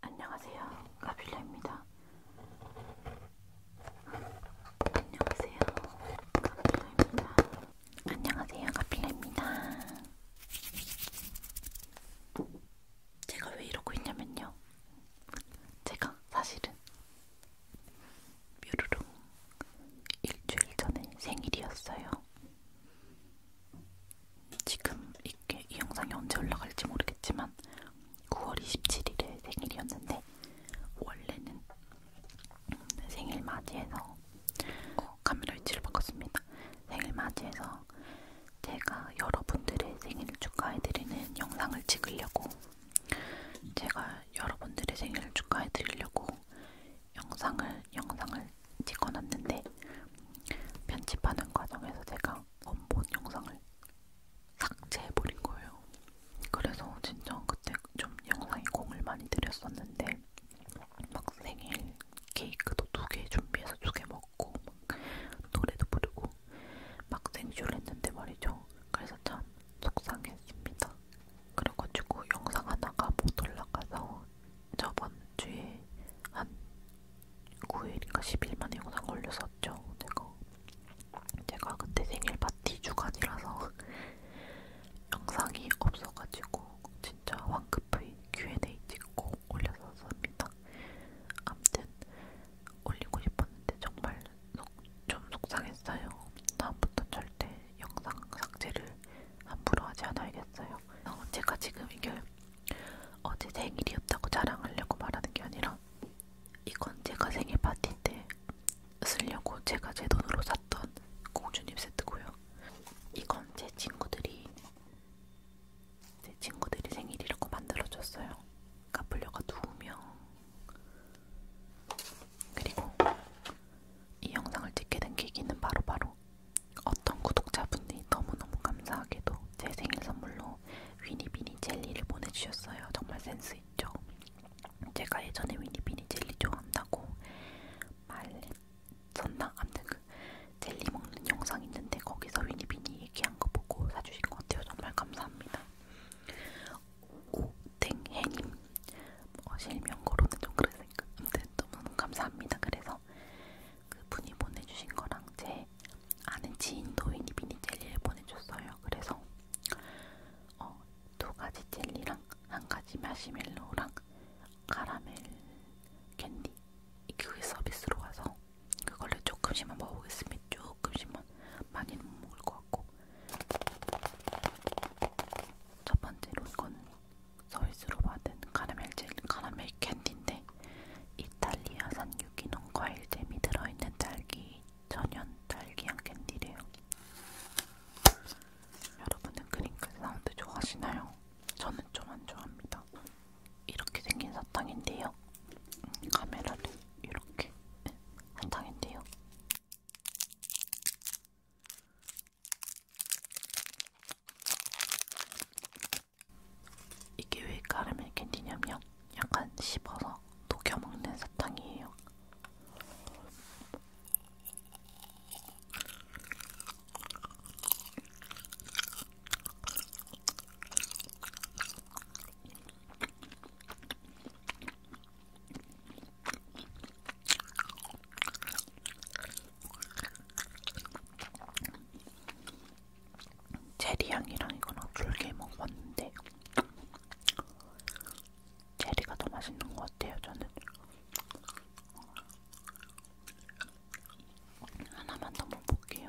안녕하세요. 가필라입니다. 안녕하세요. 가필라입니다. 안녕하세요. 가필라입니다. 제가 왜 이러고 있냐면요. 제가 사실은 뾰루룽 일주일 전에 생일이었어요. 지금 이게 이 영상이 언제 올라갈지 모르겠지만 9월 27일에 생일이었는데 원래는 생일 맞이해서 어, 카메라 위치를 바꿨습니다. 생일 맞이해서 제가 여러분들의 생일을 축하해드리는 영상을 찍으려고 제가 여러분들의 생일을 축하해드리려고 영상을 영상을 찍어놨는데 편집하는 과정에서 제가 원본 영상을 삭제해버린 거예요. 그래서 진짜 그때 좀 영상에 공을 많이 들였었는데 막 생일 케이크도 두 개 준비해서 두 개 먹고 막 노래도 부르고 막 생쇼를 했는데 말이죠. 그래서 참 속상했습니다. 그래가지고 영상 하나가 못 올라가서 저번 주에 한 9일인가 10일 만에 영상 걸렸었죠. 제가, 제가 그때 생일 파티 주간이라서 영상이 없어가지고 진짜 황급히 Q&A 찍고 올렸었습니다. 아무튼 올리고 싶었는데 정말 속, 좀 속상했어요. 다음부터 절대 영상 삭제를 함부로 하지 않아야겠어요. 어, 제가 지금 이게 어제 생일이었다고 자랑하려고 말하는 게 아니라 이건 제가 생일 파티 때 쓰려고 제가 제 돈으로 샀던 공주님 세트고요. 이건 제 친구들이 제 친구들이 생일이라고 만들어줬어요. 카플려가 두 명, 그리고 이 영상을 찍게 된 계기는 바로바로 어떤 구독자분이 너무너무 감사하게도 제 생일 선물로 위니비니 젤리를 보내주셨어요. 정말 센스 있죠? 제가 예전에 위니비니 젤리 좋아한다고 말했었나? 아무튼 그 젤리 먹는 영상 있는데 거기서 위니비니 얘기한 거 보고 사주신 것 같아요. 정말 감사합니다. 오땡해님 뭐 실명고로는 좀 그랬으니까 아무튼 너무 감사합니다. 그래서 그분이 보내주신 거랑 제 아는 지인도 이니비니 젤리를 보내줬어요. 그래서 어, 두 가지 젤리랑 한 가지 마시멜로랑 카라멜 캔디 그게 서비스로 와서 그걸로 조금씩만 먹어보겠습니다. 조금씩만 많이는 못 먹을 것 같고 첫 번째로 이건 서울스로 받은 카라멜 젤, 카라멜 캔디인데 이탈리아산 유기농 과일잼이 들어있는 딸기 천연 딸기향 캔디래요. 여러분은 크링클 사운드 좋아하시나요? 저는 좀 안 좋아합니다. 이렇게 생긴 사탕인데요. 음, 카메라를 이렇게 네, 사탕인데요. 이게 왜 카라멜 캔디냐면 약간 씹어서 녹여먹는 사탕이에요. 체리향이랑 이거랑 졸게 먹어봤는데 체리가 더 맛있는 것 같아요 저는 하나만 더 먹어볼게요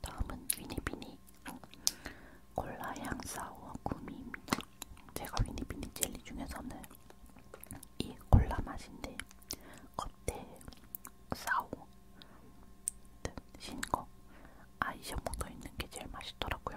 다음은 위니비니 콜라 향 사우어 구미입니다. 제가 위니비니 젤리 중에서는 이 콜라 맛인데 겉에 사우어 신거 아이셔 묻어있는 게 제일 맛있더라고요.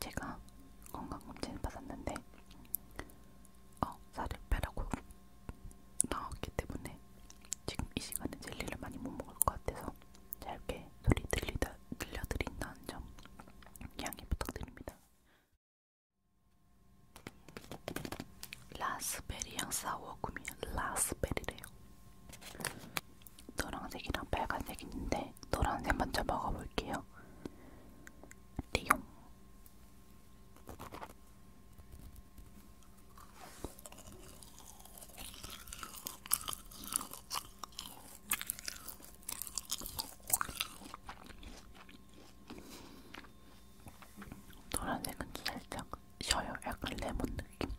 제가 건강검진을 받았는데 어, 살을 빼라고 나왔기 때문에 지금 이 시간에 젤리를 많이 못 먹을 것 같아서 짧게 소리 들리다, 들려드린다는 점 양해 부탁드립니다. 라스베리 향 사워 구미 라스베리래요. 노란색이랑 빨간색 있는데 노란색 먼저 먹어볼게요. 리용. 노란색은 살짝 셔요. 약간 레몬 느낌.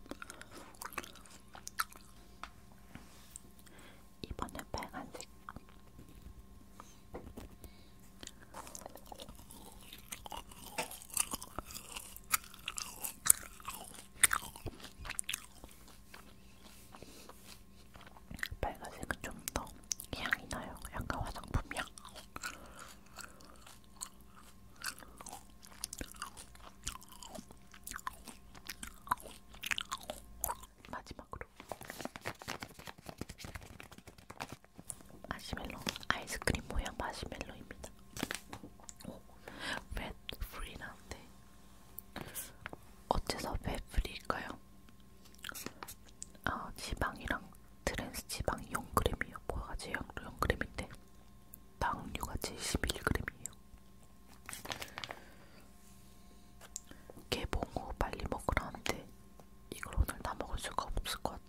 이번엔 빨간색. 빨간색은 좀 더 향이 나요. 약간 화장품 향. 마지막으로 마시멜로 아이스크림 모양 마시멜로입니다. 오, 웹 프리 나온데 어째서 웹 프리일까요? 아 지방이랑 트랜스 지방 용크림이요. 뭐가지 용크림인데 당류가 71g이에요. 개봉 후 빨리 먹으라는데 이걸 오늘 다 먹을 수가 없을 것 같은데.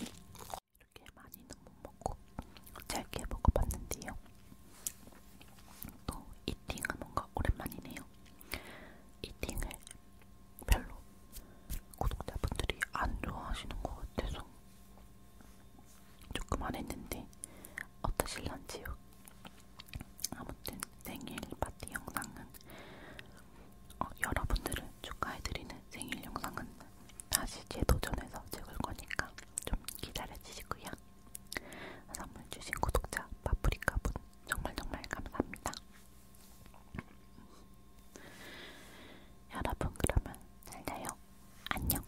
이렇게 많이는 못 먹고 짧게 먹어봤는데요. 또 이팅은 뭔가 오랜만이네요. 이팅을 별로 구독자분들이 안 좋아하시는 것 같아서 조금 안 했는데 어떠실런지요? 아무튼 생일 파티 영상은 어, 여러분들을 축하해드리는 생일 영상은 다시 재도전해서 찍을 거니까 좀 기다려주시고요. 선물 주신 구독자 파프리카분 정말 정말 감사합니다. 여러분 그러면 잘 자요. 안녕.